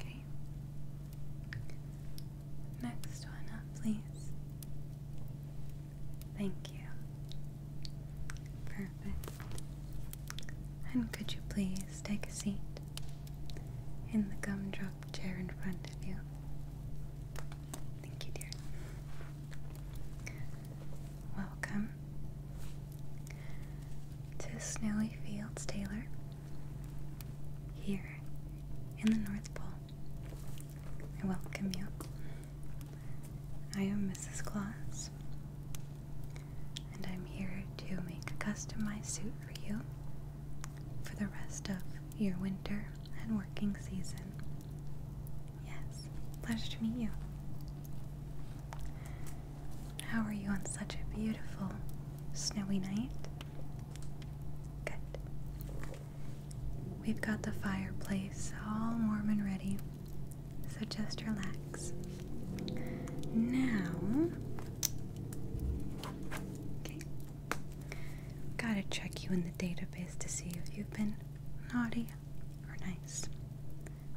Okay. Next one up, please. Thank you. Perfect. And could you please take a seat in the gumdrop chair in front of you? Thank you, dear. Welcome to Snowy Fields Taylor. Here in the North Pole, I welcome you. I am Mrs. Claus, and I'm here to make a customized suit for you for the rest of your winter and working season. Yes, pleasure to meet you. How are you on such a beautiful snowy night? Good. We've got the fireplace all warm and ready, so just relax. Now, okay, gotta check you in the database to see if you've been naughty or nice.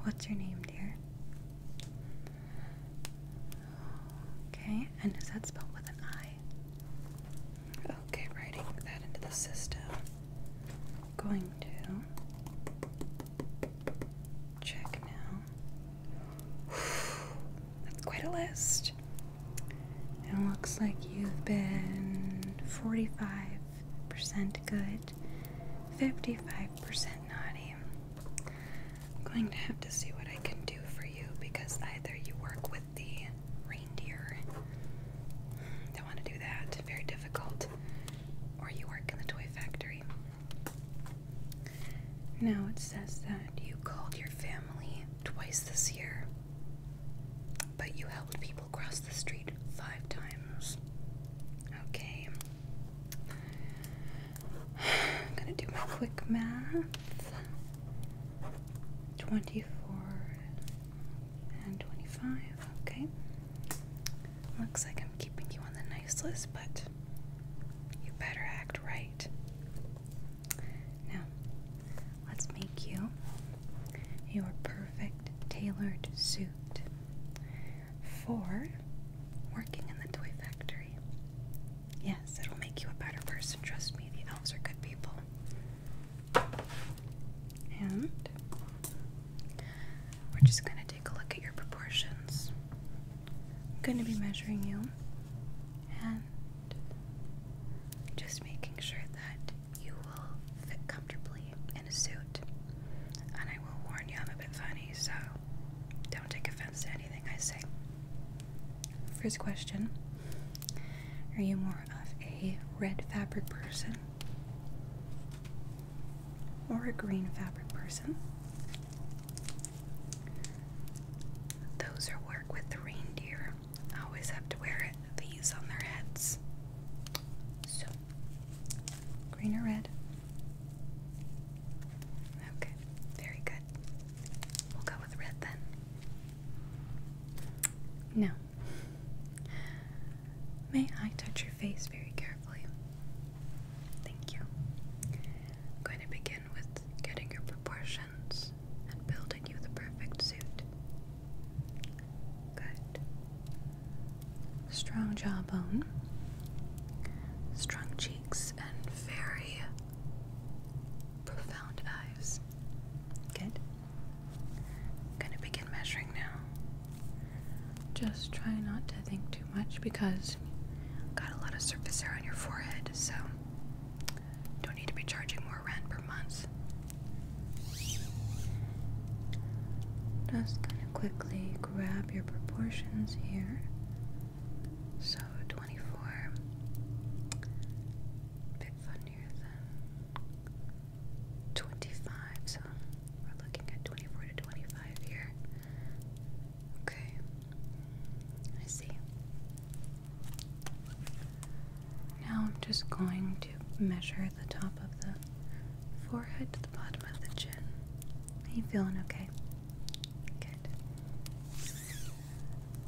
What's your name, dear? Okay, and is that spelled with an I? Okay, writing that into the system. I'm going to check now. That's quite a list. And looks like you've been 45% good, 55% naughty, I'm going to have to see what I can do for you because either you work with the reindeer, don't want to do that, very difficult, or you work in the toy factory. Now it says that you called your family twice this year, but you helped people cross the street five times. Okay, I'm gonna do my quick math. 24 and 25, okay. Looks like I'm keeping you on the nice list, but you better act right. Now, let's make you your perfect tailored suit for working in the toy factory. Yes, it'll make you a better person, trust me, the elves are good people. And we're just going to take a look at your proportions. I'm going to be measuring you and just making sure that you will fit comfortably in a suit. And I will warn you, I'm a bit funny, so don't take offense to any First question Are you more of a red fabric person or a green fabric person? Those who work with reindeer always have to wear these on their heads. So, green or red? Okay, very good. We'll go with red then. Now, may I touch your face very carefully? Thank you. I'm going to begin with getting your proportions and building you the perfect suit. Good. Strong jawbone, strong cheekbones and very profound eyes. Good. I'm gonna begin measuring now. Just try not to think too much because got a lot of surface hair on your forehead, so don't need to be charging more rent per month. Just gonna quickly grab your proportions here. So 24. Bit funnier than 25. So we're looking at 24 to 25 here. Okay. I see. Now I'm just going to measure the top of the forehead to the bottom of the chin. Are you feeling okay?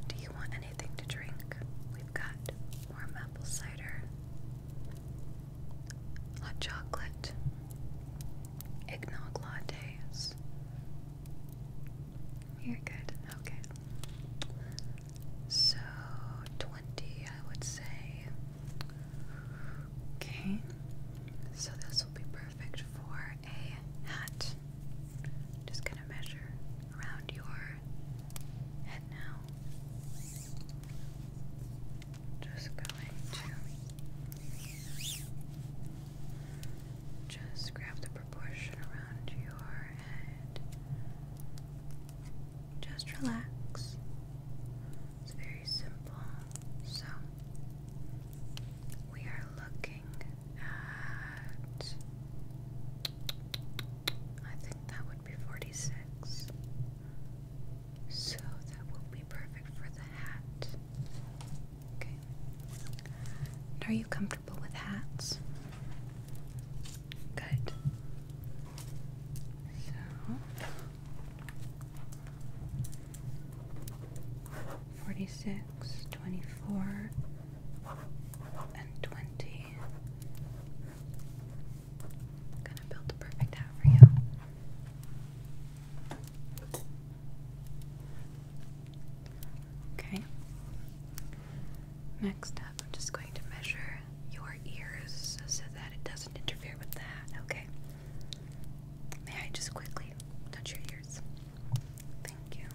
Do you want anything to drink? We've got warm apple cider, hot chocolate, eggnog lattes. you good. Okay. So, 20, I would say. Okay. So, this will be perfect perfect for a hat. Just gonna measure around your head now. Just going to just grab the proportion around your head. Just relax. It's very simple. So we are looking at. I think that would be 46. So that will be perfect for the hat. Okay. are you comfortable with hats? Good. So 46, 24, and 20. gonna build the perfect hat for you. Okay. Next up, I'm just going to measure your ears so that it doesn't interfere with the okay? May I just quickly touch your ears? Thank you.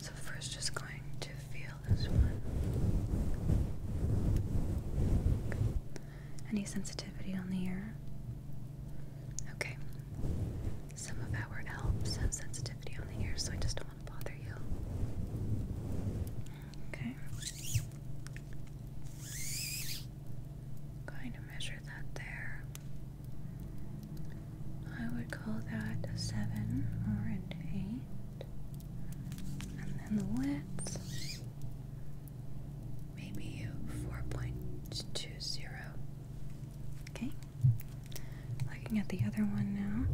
So, first, just going to feel this one. Any sensitivity on the ear? Okay. Some of our elves have sensitivity on the ear, so I just don't want to bother you. Okay. Going to measure that there. I would call that a 7 or an 8. And then the width, maybe 4.20. Okay, looking at the other one now.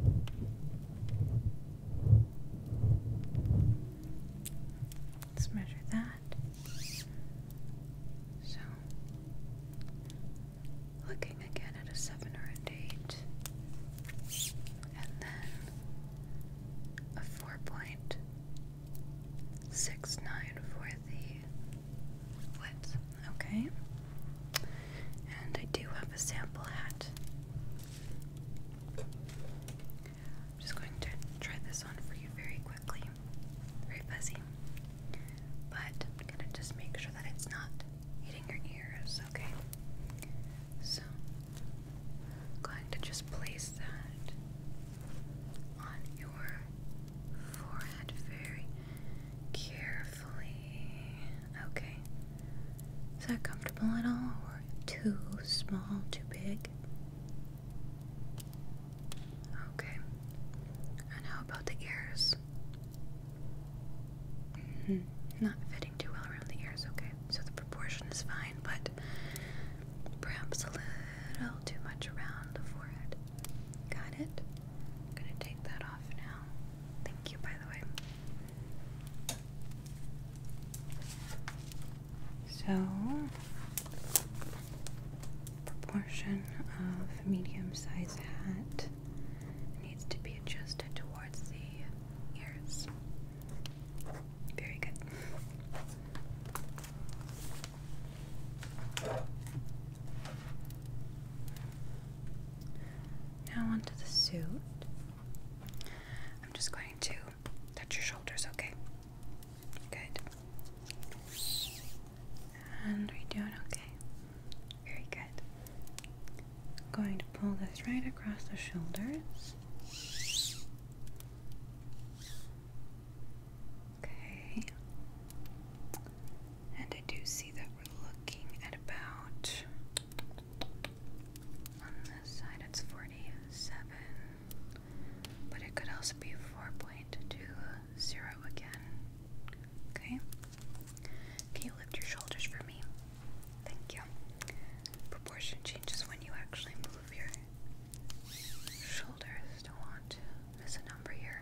Let's measure that that. So, looking again at a 7 or an 8, and then a 4.69 for the width. Okay? And I do have a sample hat. I'm just going to try this on for you very quickly very fuzzy. But I'm gonna just make sure that it's not hitting your ears, okay? So, I'm going to just place that on your forehead very carefully. Okay. Is that comfortable at all? Or too small, too big? Okay. And how about the ears? Mm-hmm. Not fitting too well around the ears, okay. So the proportion is fine, but perhaps a little too much around the forehead. Got it? gonna take that off now. Thank you, by the way. So Proportion of medium sized hat needs to be adjusted towards the ears. Very good. Now onto the suit. I'm just going to touch your shoulders, okay? Good. And we're doing okay. Very good. I'm going to pull this right across the shoulders. Okay. And I do see that we're looking at about on this side it's 47, but it could also be 4.20 again. Okay. Can you lift your shoulders for me? Thank you. Proportion changes when you actually move your shoulders. Don't want to miss a number here.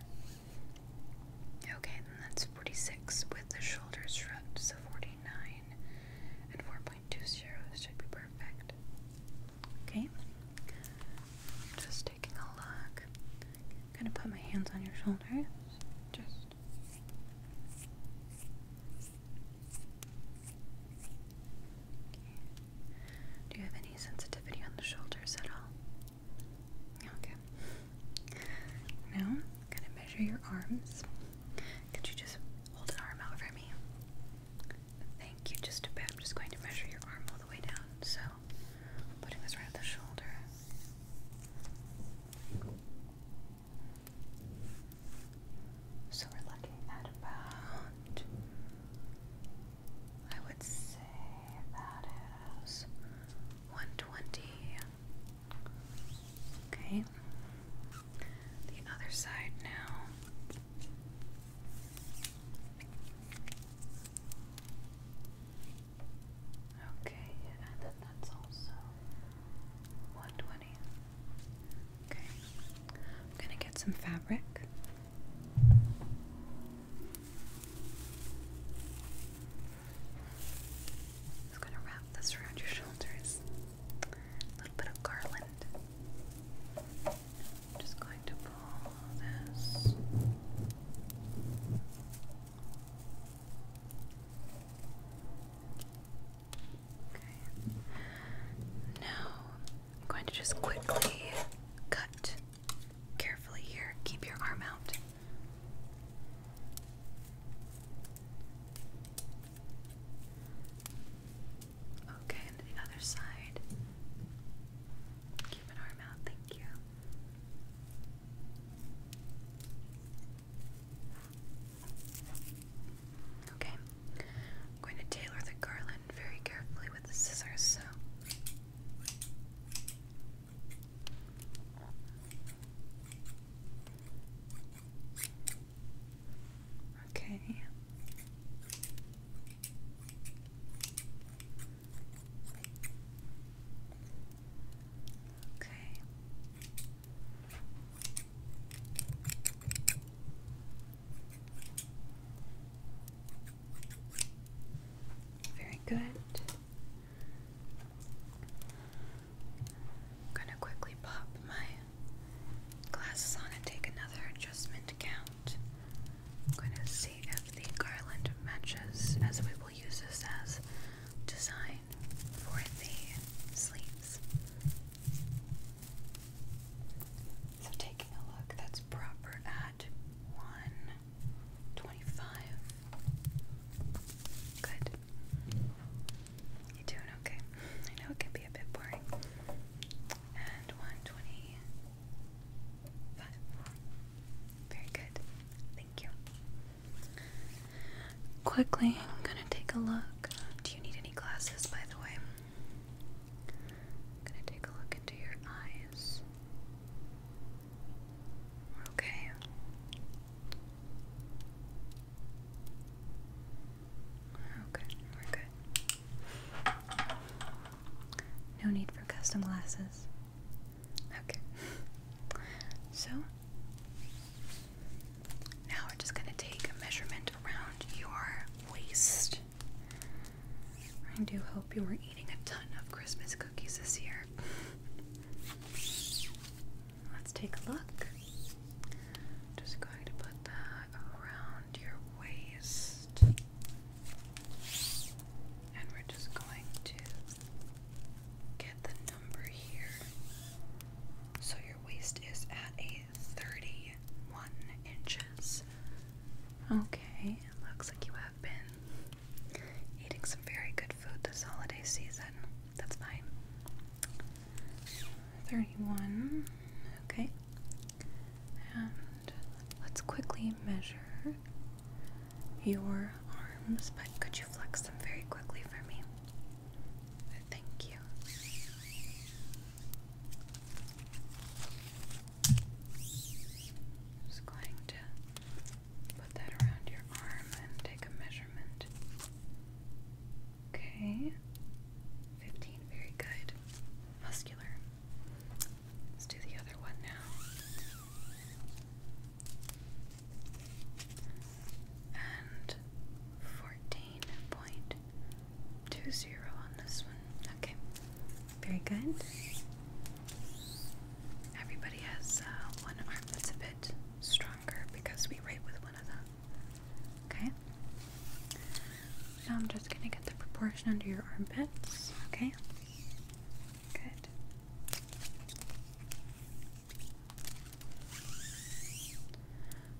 Okay, then that's 46 with the shoulders shrugged, so 49 and 4.20 should be perfect. Okay, just taking a look. I'm gonna put my hands on your shoulders. Just Do you have any sensitivity on the shoulders at all? Okay. Now I'm gonna measure your arms. Could you just hold an arm out for me? Thank you. Just a bit. just going to measure your arm all the way down. So putting this right at the shoulder. So we're looking at about, I would say that is 120. Okay. The other side now. Okay, and then that's also 120. Okay, I'm gonna get some fabric. I'm gonna wrap this around your shoulders. A little bit of garland. just going to now I'm going to just quickly cut carefully here. Keep your arm out. Okay, and the other side. Keep an arm out, thank you. Okay, I'm going to tailor the garland very carefully with the scissors. So. Okay. Okay. Very good. I'm going to quickly pop my glasses on and take another adjustment count. I'm going to if the garland matches as we will use this as design for the sleeves. So taking a look, that's proper at 125. Good. You doing okay? I know it can be a bit boring. And 120. Five. Very good. Thank you. Quickly, I'm gonna take a look. Do you need any glasses, by the way? I'm gonna take a look into your eyes. Okay. Okay, we're good. No need for custom glasses. Okay. So now we're just going to take a measurement around your waist. I do hope you were eating a ton of Christmas cookies this year. Let's take a look. Just going to put that around your waist. And we're just going to get the number here. So your waist is at a 31 inches. Okay, it looks like you have been eating some very good food this holiday season. That's fine. 31. Okay. And let's quickly measure your arms, but could you flex them very quickly for me? Thank you. just going to put that around your arm and take a measurement. Okay. 15, very good. Muscular. Let's do the other one now. And 14.20 on this one. Okay, very good. Everybody has uh, one arm that's a bit stronger because we write with one of them. Okay? Now I'm just going to get the proportion under your armpits. Okay? Good.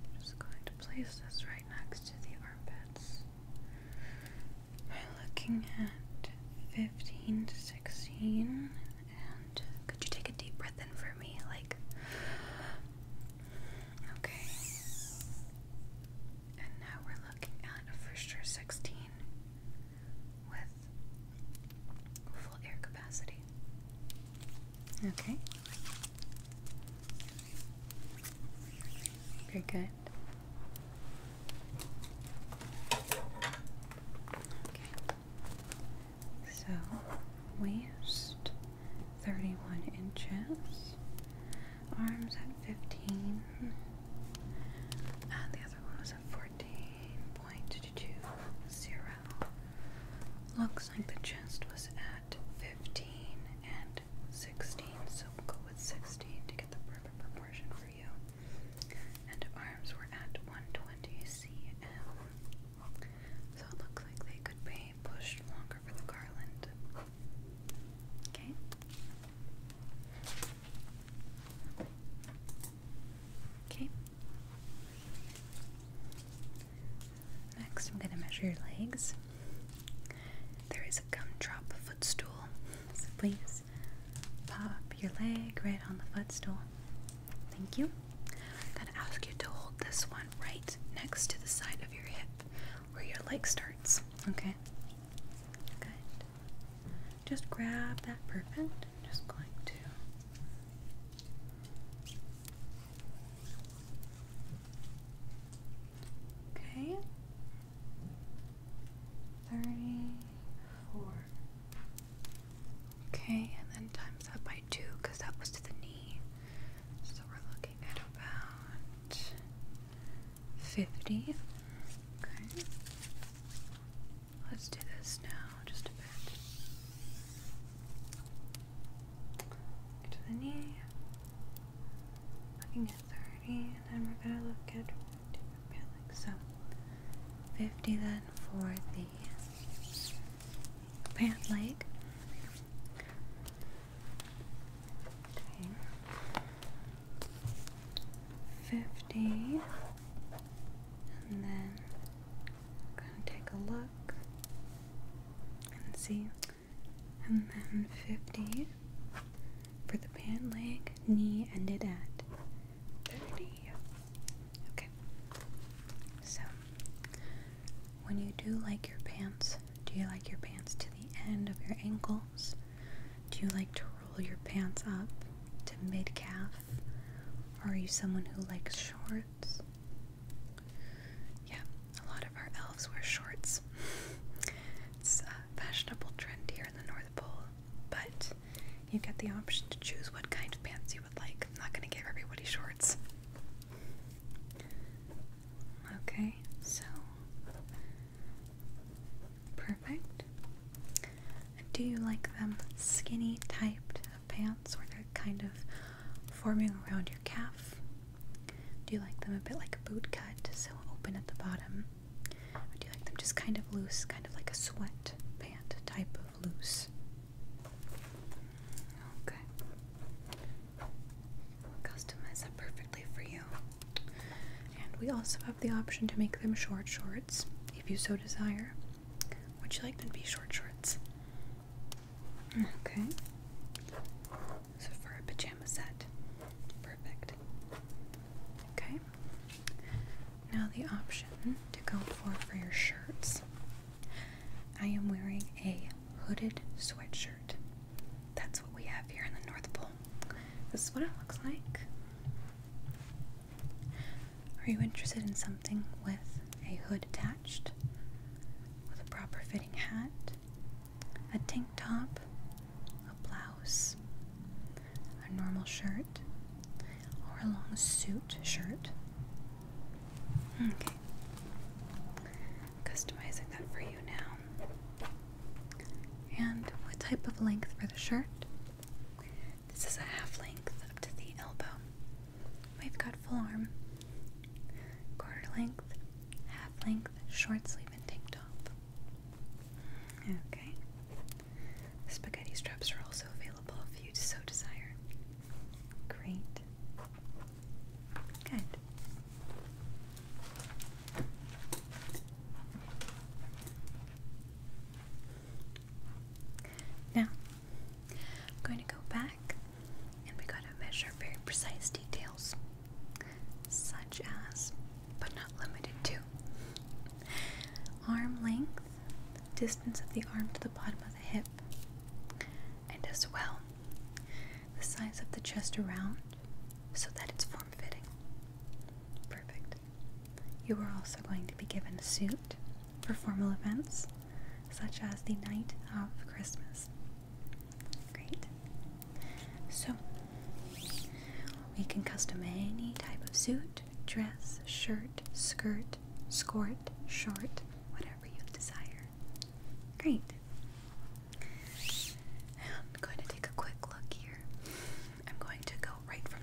I'm just going to place this right next to the armpits by looking at 15 to 16. And could you take a deep breath in for me? Like, okay. And now we're looking at a for 16 with full air capacity. Okay. Very good. Okay. So, waist 31 inches, arms at 15, and the other one 14.20. Looks like the chest was at 15 and 16, so we'll go with 16 to get the perfect proportion for you. And arms were at 120 cm. So it looks like they could be pushed longer for the garland. Okay. Okay. Next, I'm going to measure your legs. There is a gumdrop footstool, so please pop your leg right on the footstool. Thank you. I'm going to ask you to hold this one right next to the side of your hip where your leg starts. Okay? Good just grab that perfect I'm just going to Okay. Thirty four. Okay, and then times that by two because that was to the knee. So we're looking at about fifty. Okay. Let's do this now just a bit. To the knee. Looking at 30, and then we're gonna look at like so. 50 then for the pant leg fifty, and then take a look and see, and then fifty for the pant leg knee ended at thirty. Okay, so when you do like your pants, do you like your pants to the end of your ankle do you like to roll your pants up to mid calf? Or are you someone who likes shorts? Yeah, a lot of our elves wear shorts. it's a uh, fashionable trend here in the North Pole, but you get the option to choose what kind of pants you would like. I'm not going to give everybody shorts. Okay, so. Perfect. Do you like them skinny typed pants where they're kind of forming around your calf? Do you like them a bit like a boot cut, so open at the bottom? do you like them just kind of loose, kind of like a sweat pant type of loose? Okay. customize perfectly for you. And we also have the option to make them short shorts if you so desire. Would you like them to be short shorts? Okay. So for a pajama set. Perfect. Okay. Now the option to go for for your shirts. I am wearing a hooded sweatshirt. That's what we have here in the North Pole. This is what it looks like. Are you interested in something with a hood attached? With a proper fitting hat? A tank top? A blouse? A normal shirt? Or a long suit shirt? Okay. Customizing that for you now. And what type of length for the shirt? This is a half length up to the elbow. We've got full arm, quarter length, half length, short sleeve, and tank top. Okay. Spaghetti straps are also available if you so desire. Great. Good. Now, I'm going to go back and we are going to measure very precise details, such as, but not limited to, arm length, distance of the arm to the bottom of the hip, and as well, the size of the chest around so that it's form fitting. Perfect. You are also going to be given a suit for formal events, such as the night of Christmas. Great. So, we can custom any type of suit, dress, shirt, skirt, skirt, short, whatever you desire. Great. I'm going to take a quick look here. I'm going to go right from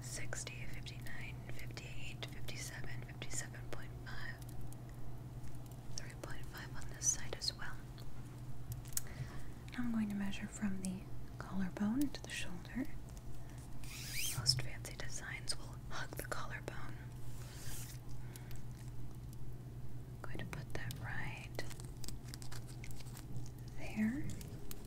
60, 59, 58, 57, 57.5, on this side as well. I'm going to measure from the collarbone to the shoulder. Most fancy designs will hug the collarbone. going to put that right there.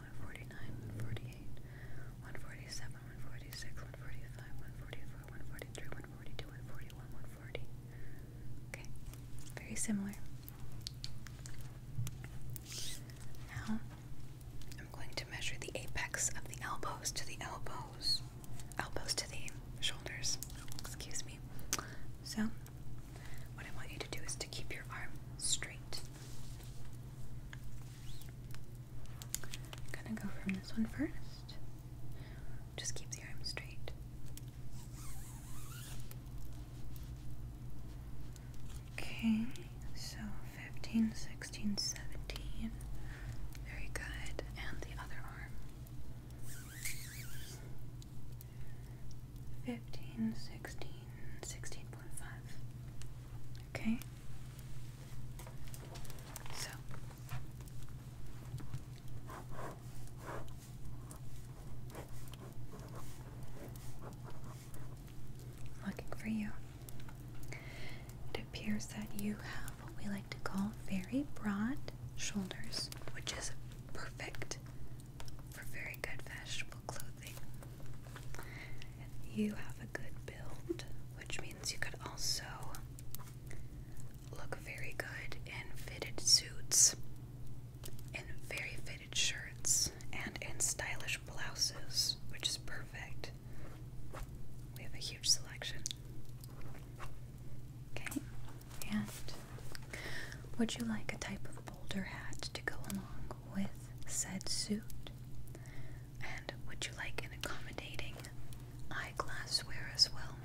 149, 148, 147, 146, 145, 144, 143, 142, 141, 140. Okay, very similar. Now, I'm going to measure the apex of the elbows to the elbows, elbows to the shoulders. Excuse me. So, what I want you to do is to keep your arm straight gonna go from this one first. Just keep the arm straight. Okay, so 15, 16, 17. Very good. And the other arm. 15, Okay? So. Looking for you. It appears that you have what we like to call very broad shoulders, which is perfect for very good fashionable clothing. You have a good build, which means you could also look very good in fitted suits, in very fitted shirts, and in stylish blouses, which is perfect. We have a huge selection. Okay, and would you like a type of boulder hat to go along with said suit? And would you like an accommodating eyeglass wear as well?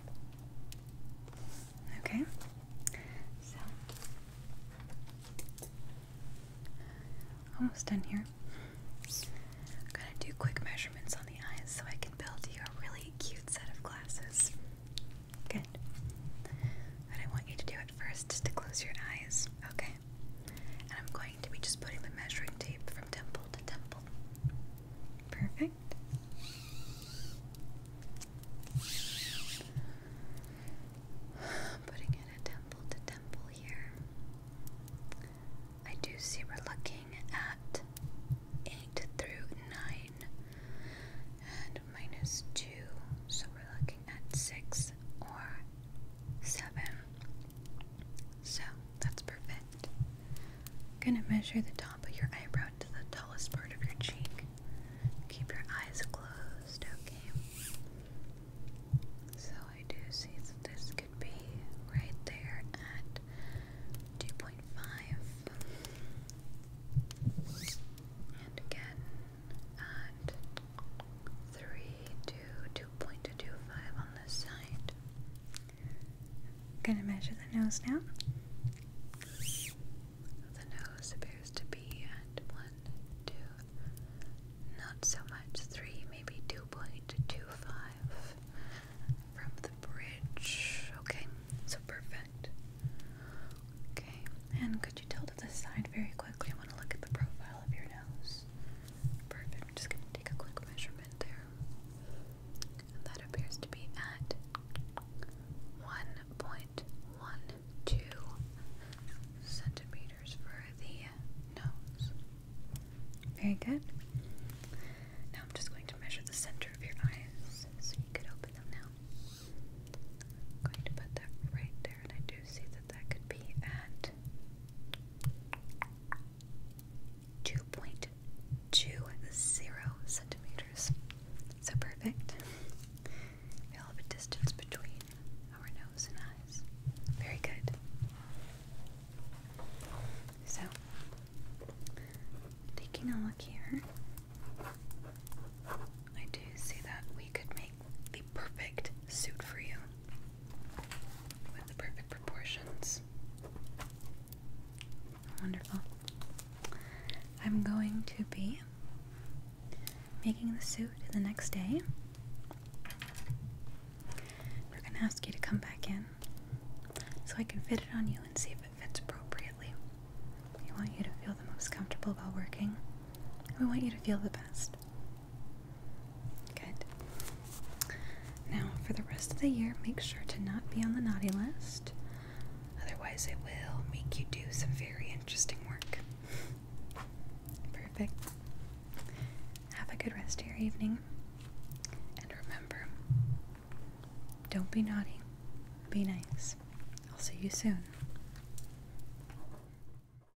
Okay, so almost done here. I'm gonna do quick measurements on the eyes so I can build you a really cute set of glasses. Good. But I want you to do it first to close your eyes, okay? And I'm going to be just putting the measuring tape from temple to temple. Perfect. Putting it a temple to temple here. I do see we're looking at 8 through 9 and minus 2, so we're looking at six or seven. So that's perfect. I'm gonna measure the top of your eyebrow to the tallest part of your cheek. Keep your eyes closed, okay? So I do see that this could be right there at 2.5. And again, at three to on this side. Gonna measure the nose now. The nose appears to be at one, two, not so much three, maybe two point two five from the bridge. Okay, so perfect. Okay, and could you tilt to the side very quickly? I want to look at the profile smile of your nose. Perfect. I'm just going to take a quick measurement there. And that appears to be at 1.12 centimeters for the nose. Very good. Now I'm just going to measure the center of your eyes so you could open them now. I'm going to put that right there, and I see that that could be at 2.20 centimeters. So perfect. We all have a distance between our nose and eyes. Very good. So, taking a look here, I do see that we could make the perfect suit for you with the perfect proportions. Wonderful. I'm going to be making the suit the next day. We're going to ask you to come back in so I can fit it on you and see if it fits appropriately. We want you to feel the most comfortable while working. We want you to feel the best. Good. Now, for the rest of the year, make sure to not be on the naughty list. Otherwise, it will make you do some very interesting work. Perfect. Have a good rest of your evening. And remember, don't be naughty, be nice. I'll see you soon.